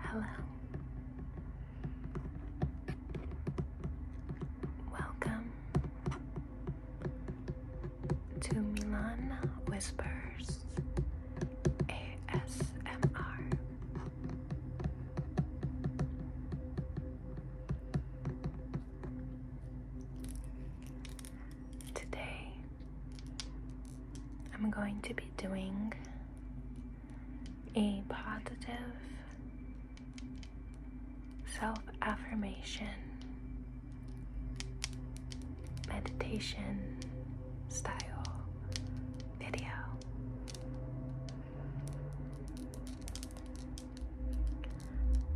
Hello. Welcome to Milan Whispers ASMR. Today I'm going to be doing a positive self affirmation meditation style video.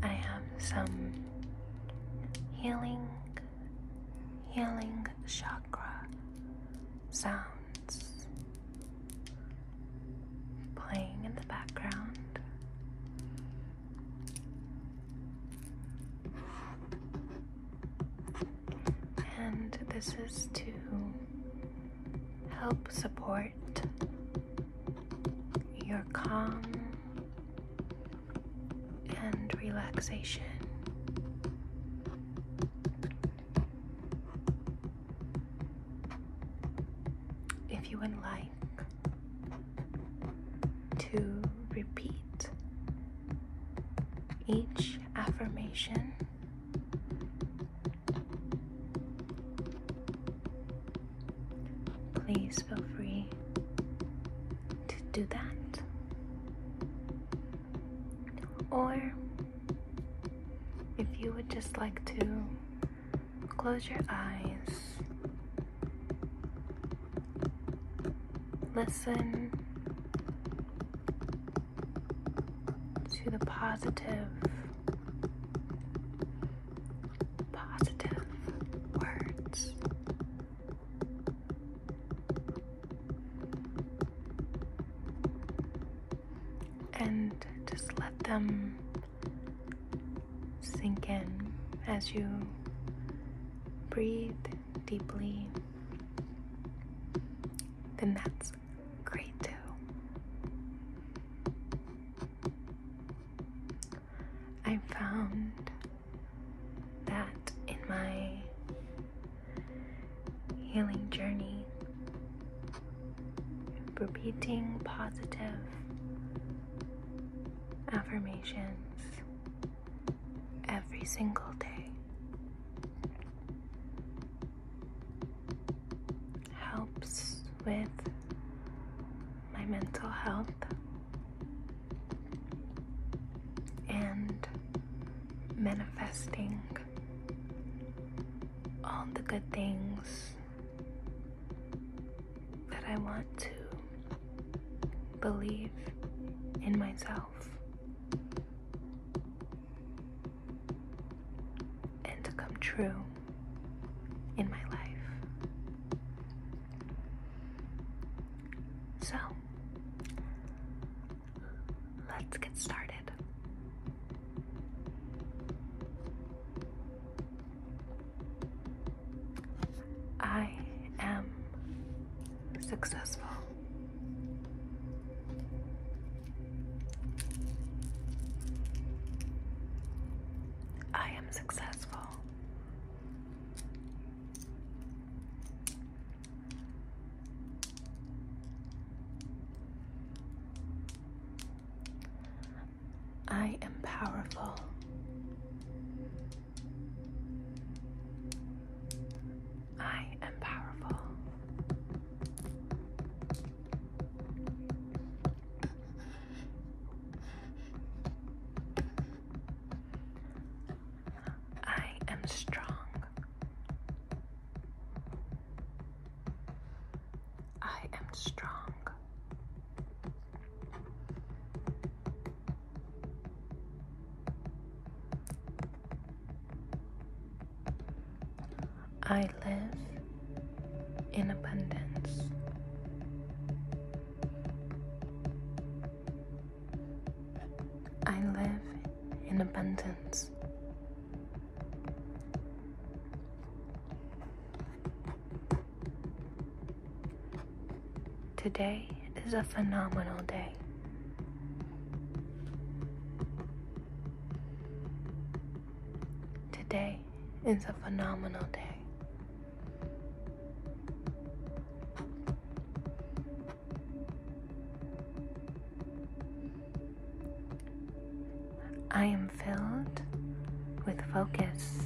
I have some healing healing chakra sounds playing in the background. And this is to help support your calm and relaxation. If you would like to repeat each affirmation. Please feel free to do that or if you would just like to close your eyes listen to the positive positive words and just let them sink in as you breathe deeply, then that's great too. I found that in my healing journey, repeating positive affirmations every single day helps with my mental health and manifesting all the good things that I want to believe in myself and to come true in my life. So, let's get started. I am successful. I am successful. I am powerful. I am powerful. I am strong. I am strong. I live in abundance. I live in abundance. Today is a phenomenal day. Today is a phenomenal day. I am filled with focus.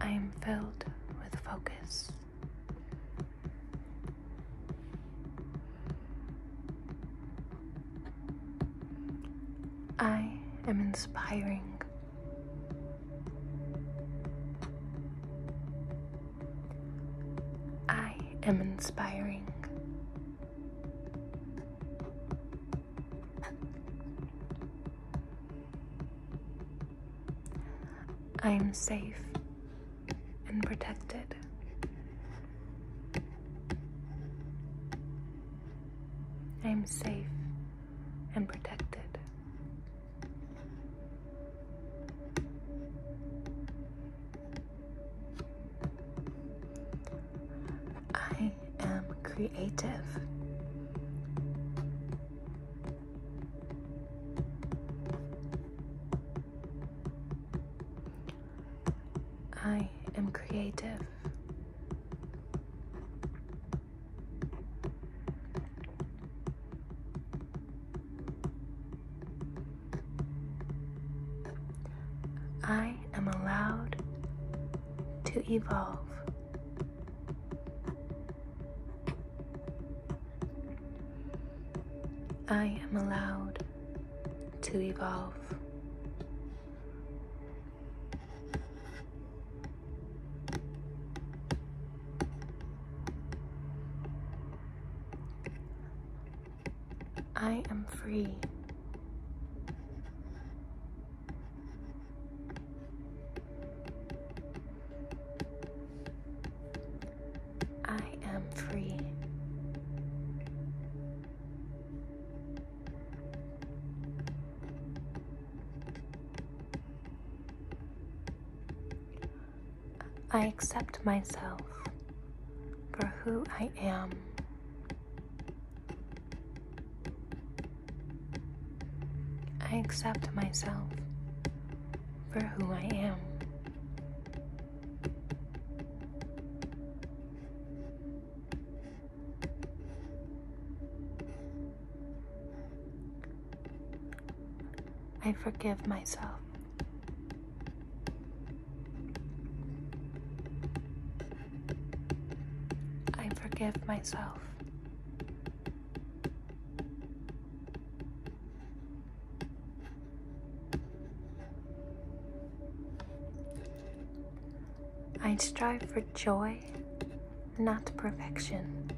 I am filled with focus. I am inspiring I am inspiring. I am safe and protected. I am safe and protected. I am creative. I am creative. I am allowed to evolve. I am allowed to evolve. I am free. I am free. I accept myself for who I am. I accept myself for who I am. I forgive myself. I forgive myself. I strive for joy, not perfection.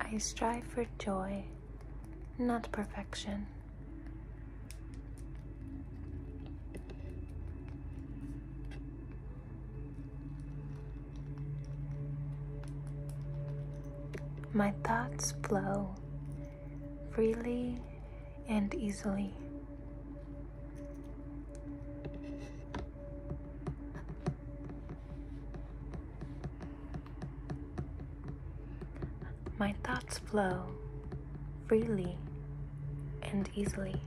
I strive for joy, not perfection. My thoughts flow freely and easily. My thoughts flow freely and easily.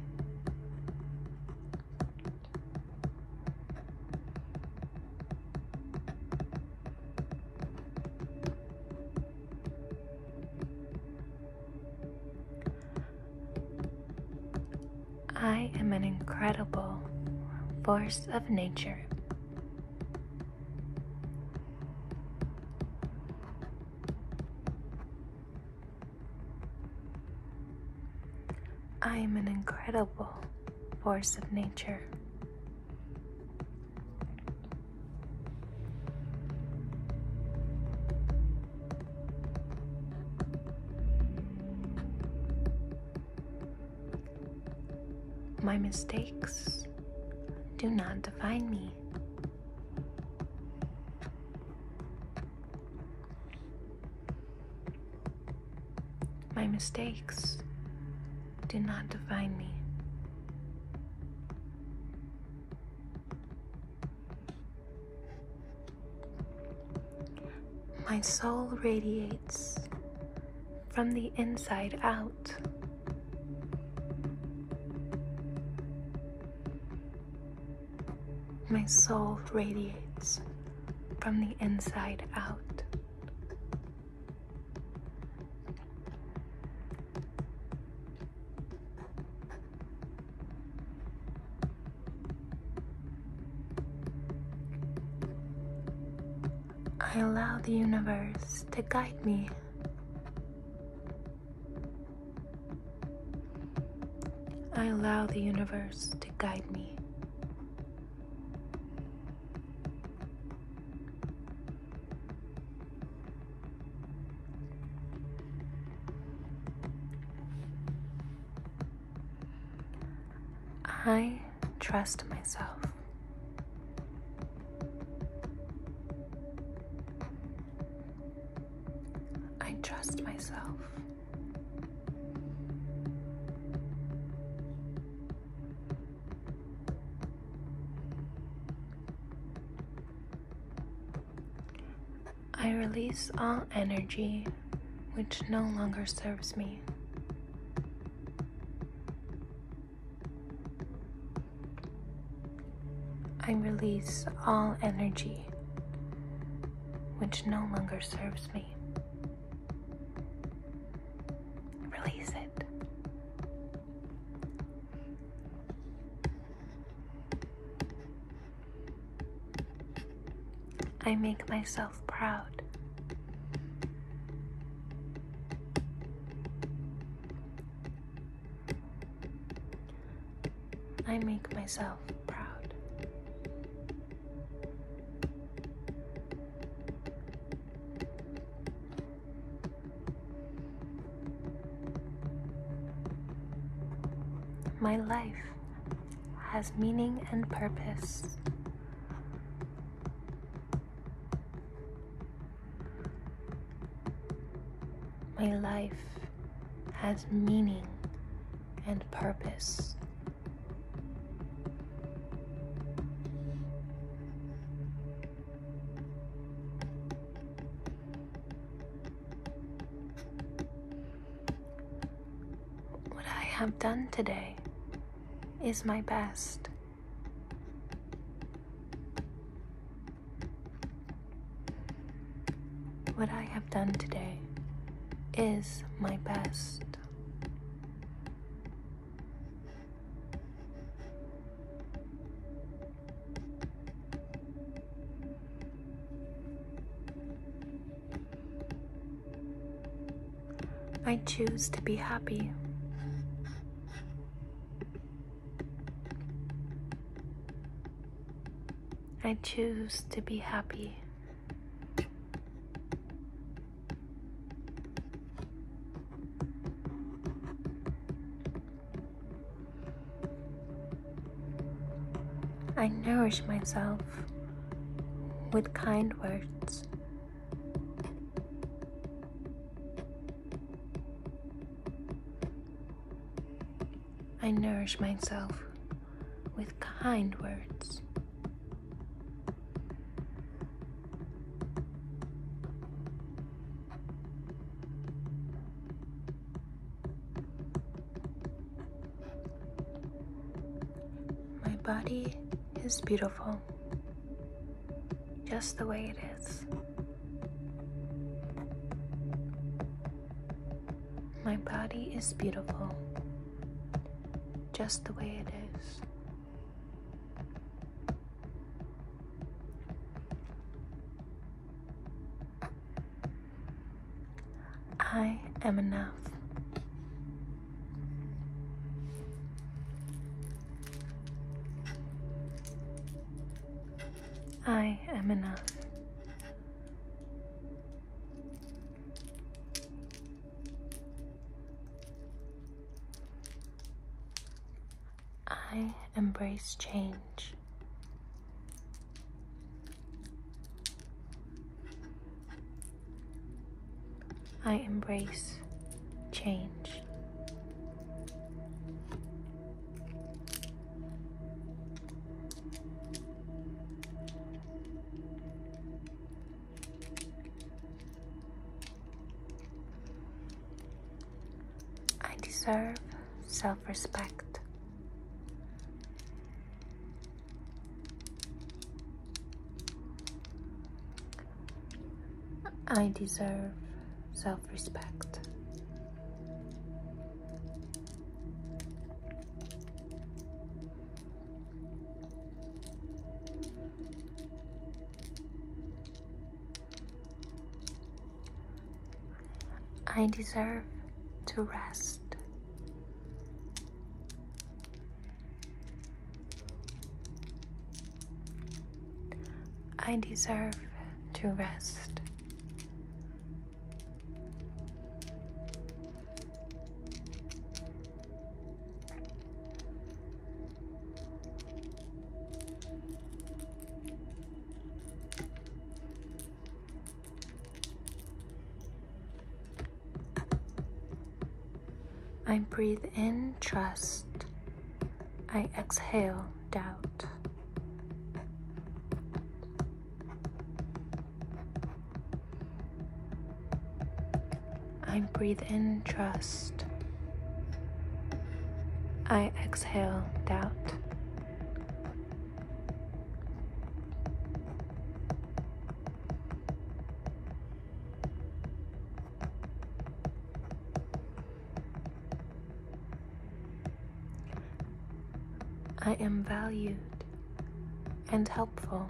I am an incredible force of nature. I am an incredible force of nature. My mistakes do not define me. My mistakes do not define me. My soul radiates from the inside out. My soul radiates from the inside out. I allow the universe to guide me. I allow the universe to guide me. I trust myself. I trust myself. I release all energy which no longer serves me. I release all energy which no longer serves me. Release it. I make myself proud. I make myself proud. My life has meaning and purpose. My life has meaning and purpose. What I have done today is my best. What I have done today is my best. I choose to be happy. I choose to be happy. I nourish myself with kind words. I nourish myself with kind words. My body is beautiful just the way it is. My body is beautiful just the way it is. I am enough. I am enough. I embrace change. I embrace change. I deserve self respect. I deserve self respect. I deserve to rest. I deserve to rest. I breathe in trust. I exhale doubt. I breathe in trust. I exhale doubt. I am valued and helpful.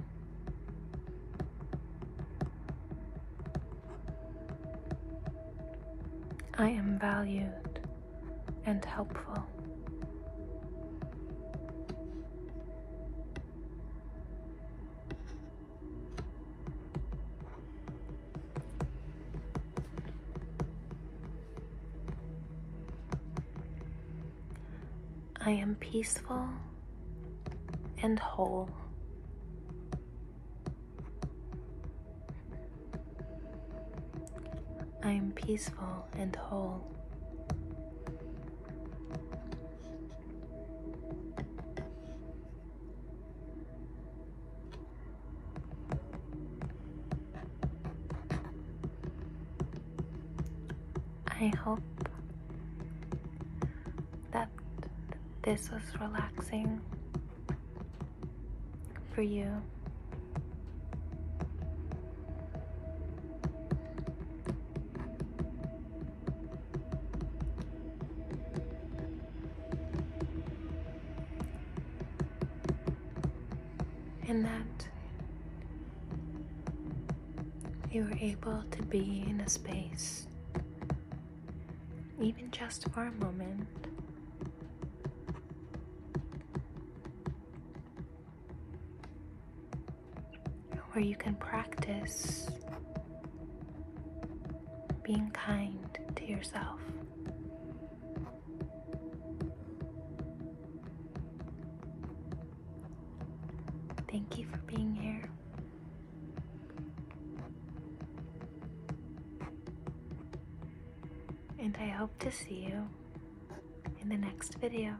I am valued and helpful. I am peaceful and whole. I am peaceful and whole. I hope that this was relaxing for you. And that you were able to be in a space even just for a moment. Where you can practice being kind to yourself. Thank you for being here. And I hope to see you in the next video.